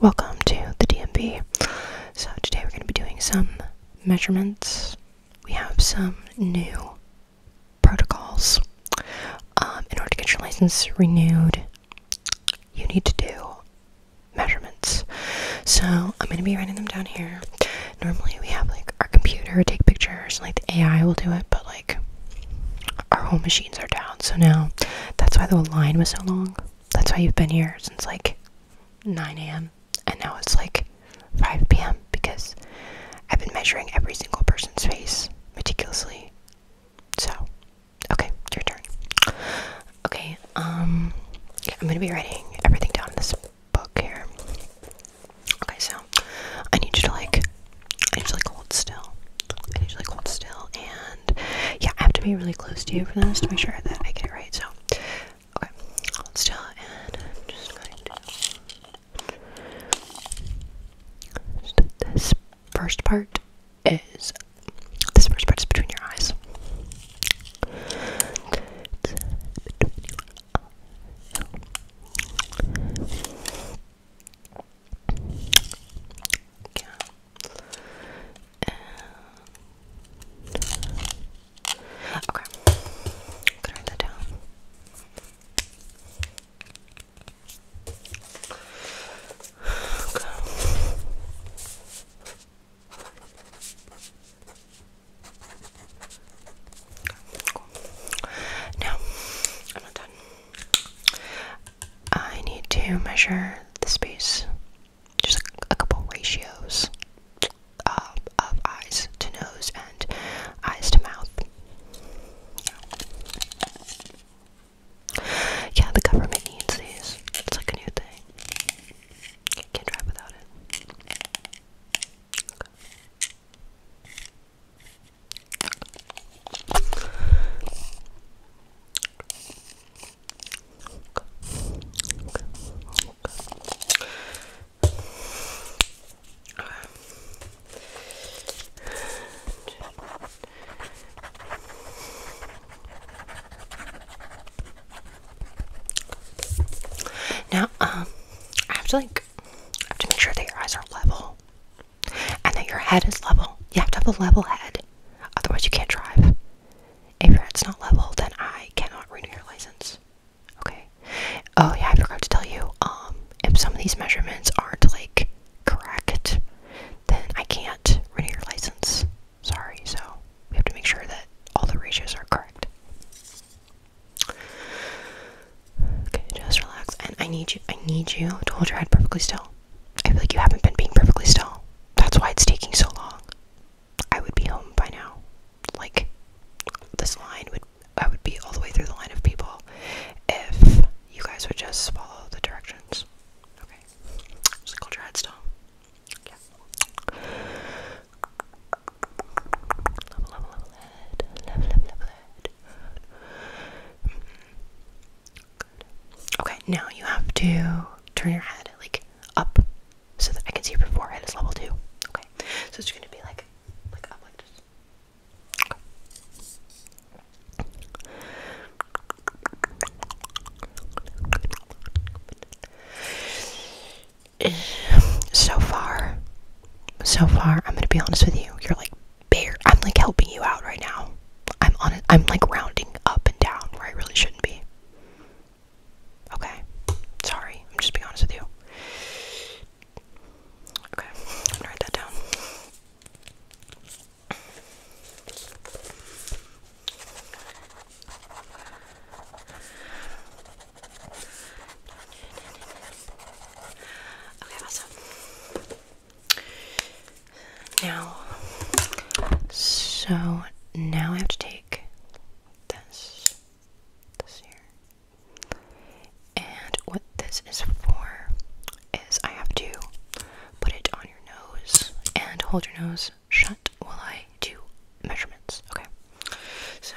Welcome to the DMB. So, today we're going to be doing some measurements. We have some new protocols. Um, in order to get your license renewed, you need to do measurements. So, I'm going to be writing them down here. Normally, we have like our computer take pictures, and like the AI will do it, but like our whole machine are down. So now that's why the line was so long. That's why you've been here since like 9 a.m. And now it's like 5 p.m. because I've been measuring every single person's face meticulously. So, okay, your turn. Okay, um, I'm gonna be writing everything down in this book here. Okay, so I need you to like I usually hold still. I usually hold still, and yeah, I have to be really close to you for this to make sure that I get it right. So, okay, hold still, and just going to. Just this first part is this first part is between your eyes. It's okay, I'm gonna write that down. Okay. Cool. Now I'm not done. I need to measure the space, just a, a couple ratios uh, of eyes to nose and eyes to mouth. Yeah. the government needs these. It's like a new thing. Can't drive without it. Now, um, I have to like, I have to make sure that your eyes are level and that your head is level. You have to have a level head, otherwise, you can't drive. If your head's not level, then I cannot renew your license. Okay. Oh, yeah, I forgot to tell you. Um, if some of these measurements aren't like correct, then I can't renew your license. Sorry, so we have to make sure that all the ratios are correct. Okay, just relax. And I need you, I need you to hold your head perfectly still. I feel like you haven't been being perfectly still. That's why it's taking so long. I would be home by now. Like this line would I would be all the way through the line of people if you guys would just follow the directions. Okay. Just culture headstone. Yeah. Mm-hmm. Okay, now you have to turn your head like up so that I can see your forehead is level too. Okay. So it's gonna be like So far, so far, I'm gonna be honest with you. You're like bare I'm like helping you out right now. I'm on I'm like rounding up and down where I really shouldn't be. Okay. Sorry, I'm just being honest with you. Okay, write that down. Okay, awesome. Now, so now I have to take this, this here, and what this is for is I have to put it on your nose and hold your nose shut while I do measurements. Okay, so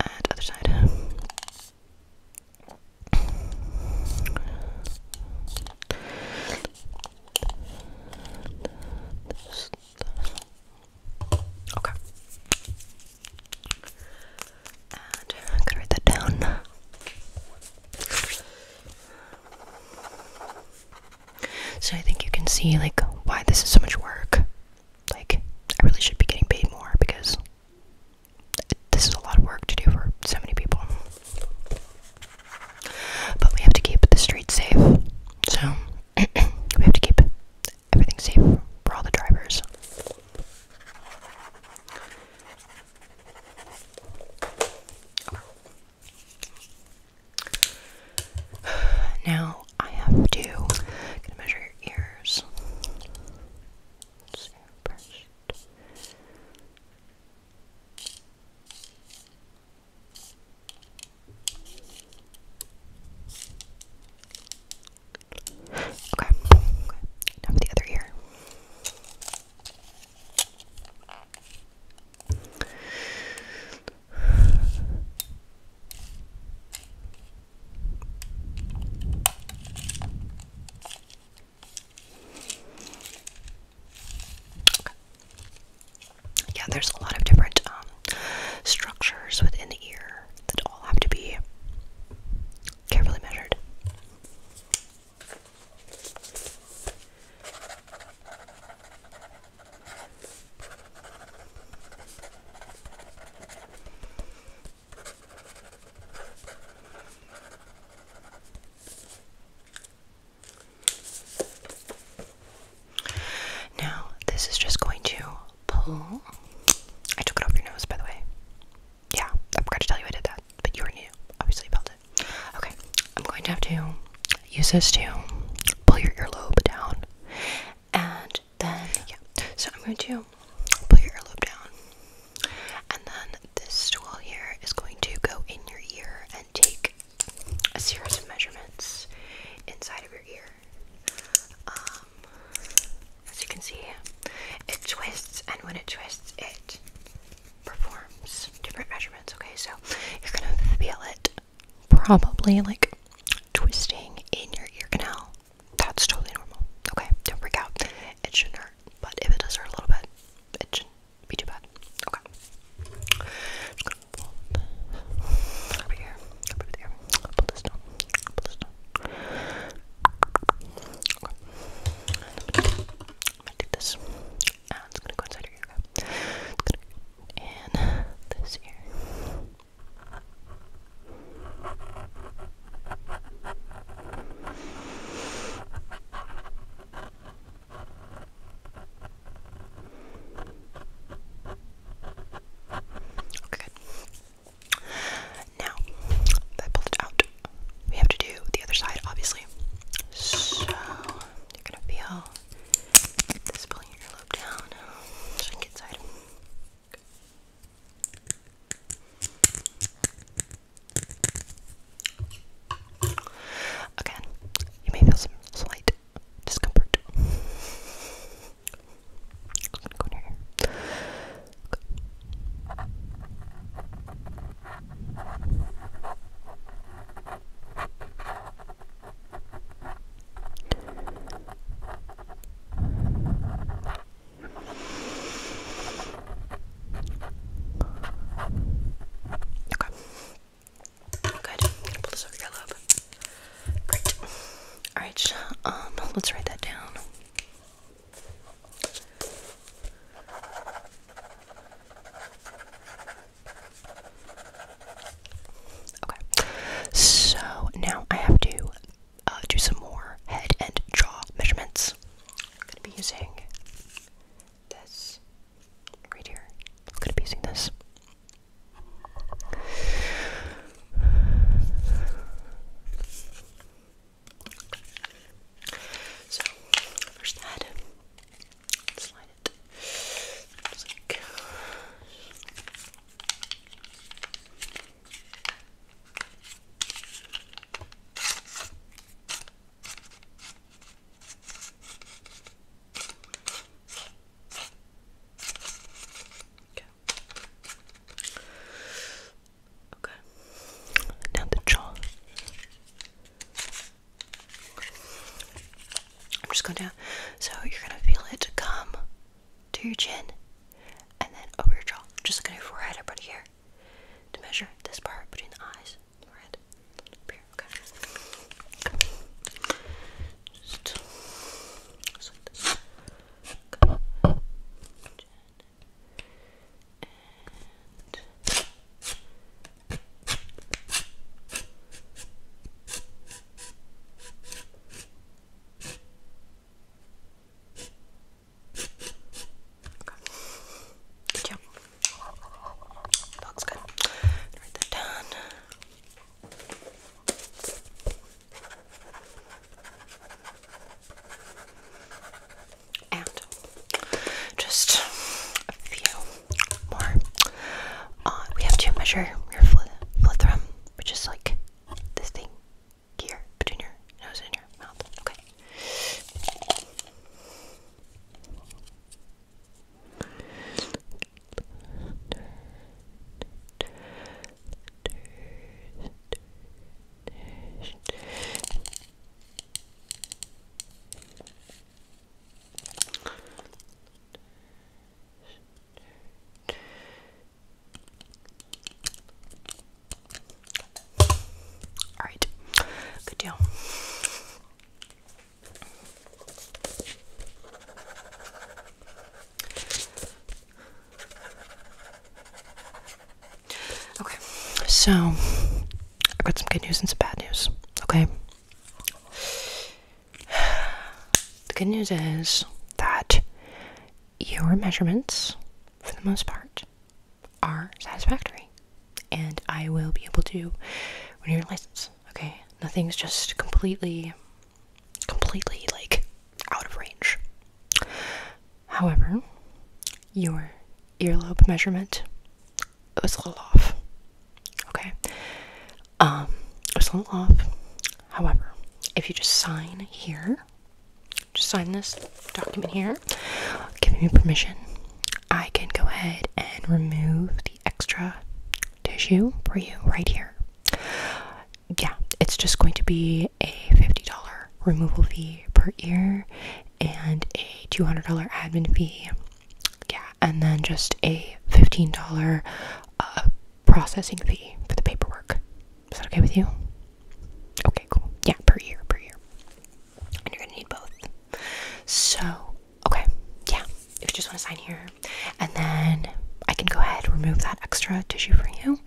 And other side. Okay. And I'm gonna write that down. So I think you can see like why this is so much work. Like I really should be getting paid more because this is a lot of work to do for so many people. But we have to keep the streets safe. So we have to keep everything safe for all the drivers. Now I have to gonna measure your ears. Okay. okay. Now for the other ear. Yeah, there's a lot of different um, structures within the ear that all have to be carefully measured. Now, this is just going to pull. I took it off your nose, by the way. Yeah, I forgot to tell you I did that, but you already knew. Obviously, felt it. Okay, I'm going to have to use this to pull your earlobe down. And then, yeah, so I'm going to pull your earlobe down. And then this tool here is going to go in your ear and take a series of measurements inside of your ear. Um, as you can see, it twists, and when it twists, it performs different measurements, okay? So you're gonna feel it probably like twisting in your ear canal. That's totally normal, okay? Don't freak out. It shouldn't hurt, but if it does hurt a little bit, it shouldn't be too bad. Okay. over here, over here. Pull this down. Pull this down. I'm gonna do this. it's gonna go inside your ear. And this here. Okay, Now that pulled it out, we have to do the other side, obviously. So you're gonna feel this pulling your earlobe down. Shrink inside. Again, you may feel some slight discomfort. Okay. Good. I'm gonna pull this over your lip. Great. Alright, um, let's write that down. Okay, so now I have to uh, do some more head and jaw measurements. I'm gonna be using this right here. I'm gonna be using this. So, first head slide it. It's like... Okay. Okay. Now the jaw. I'm just going down. So you're going to feel it come to your chin and then over your jaw. Just look at your forehead up right here to measure this part between the eyes. Forehead. here. Okay. Just, like this. Chin and Good job. Looks good. Write that down and just a few more. Uh, we have to measure your phlegm, which is like this thing here between your nose and your mouth. Okay. All right, good deal. Okay, so I have got some good news and some bad news. Okay. The good news is that your measurements, for the most part, are satisfactory. And I will be able to renew your license. Okay? Nothing's just completely, completely like out of range. However, your earlobe measurement it was a little off. Okay. Um, it was a little off. However, if you just sign here, just sign this document here, giving me permission, I can go ahead and remove the extra tissue for you right here. Yeah, it's just going to be a $50 removal fee per ear and a $200 admin fee. Yeah, and then just a $15 uh, processing fee for the paperwork. Is that okay with you? Okay, cool. Yeah, per year, per year. you're gonna need both. So, okay, yeah. If you just want to sign here, and then I can go ahead remove that extra tissue for you.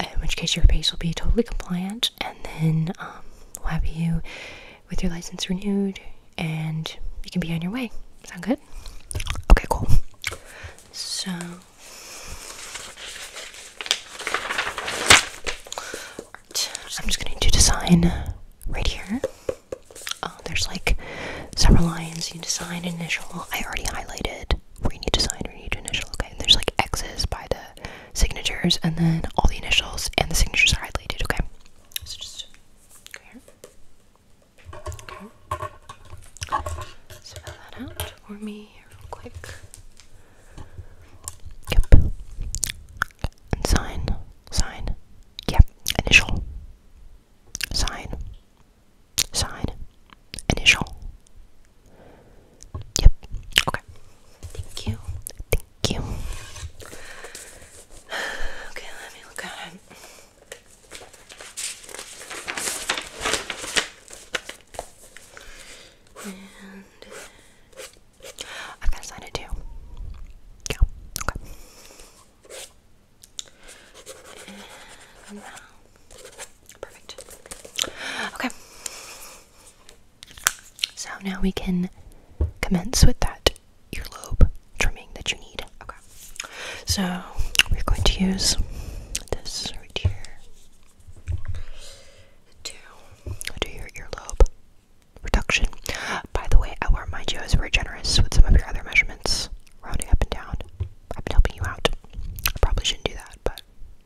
In which case, your face will be totally compliant and then um, we'll have you with your license renewed and you can be on your way. Sound good? Okay, cool. So, I'm just going to do design right here. Uh, there's like several lines. You need to design initial. I already highlighted where you need to sign, or you need to initial. Okay, and there's like X's by the signatures, and then all the initials and the signatures are highlighted. Okay, so just go here. Okay, that out for me real quick. Yep, sign, sign. Yep, initial, sign, sign, initial. Yep. Okay. Thank you. Thank you. Okay, let me look at And I've got to sign Yeah. Okay. Um, perfect. Okay. So now we can commence with that earlobe trimming that you need. Okay. So we're going to use this right here to do your earlobe reduction. By the way, I will remind you I was very generous with some of your other measurements, rounding up and down. I've been helping you out. I probably shouldn't do that, but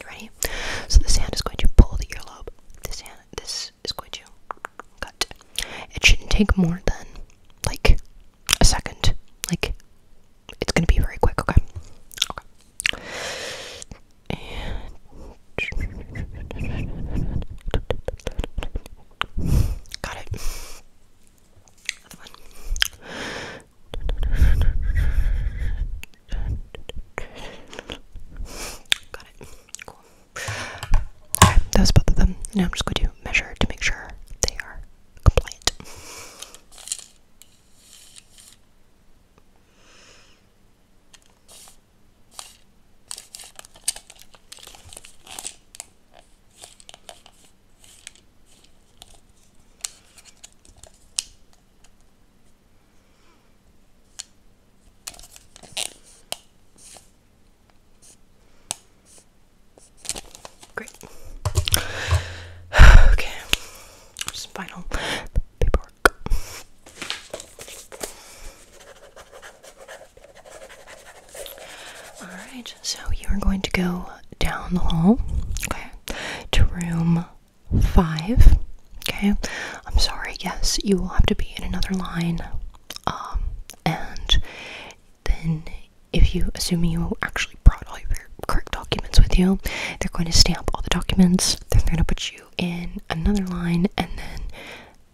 Now, So this hand is going to pull the earlobe. This hand, this is going to cut. It shouldn't take more than like a second. Like it's gonna be very quick. Okay. got it. Got it. Cool. Alright, that was both of them. Now I'm just going to measure to make sure they are compliant. Great. okay. final paperwork. Alright, so you are going to go down the hall, okay, to room five. Okay, I'm sorry. Yes, you will have to be in another line. Um, and then if you, assuming you actually brought all your correct documents with you, they're going to stamp all the documents. they're going to put you in another line, and then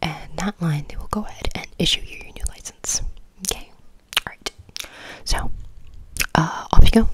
and that line they will go ahead and issue you your new license. Okay, all right. So, uh, off you go.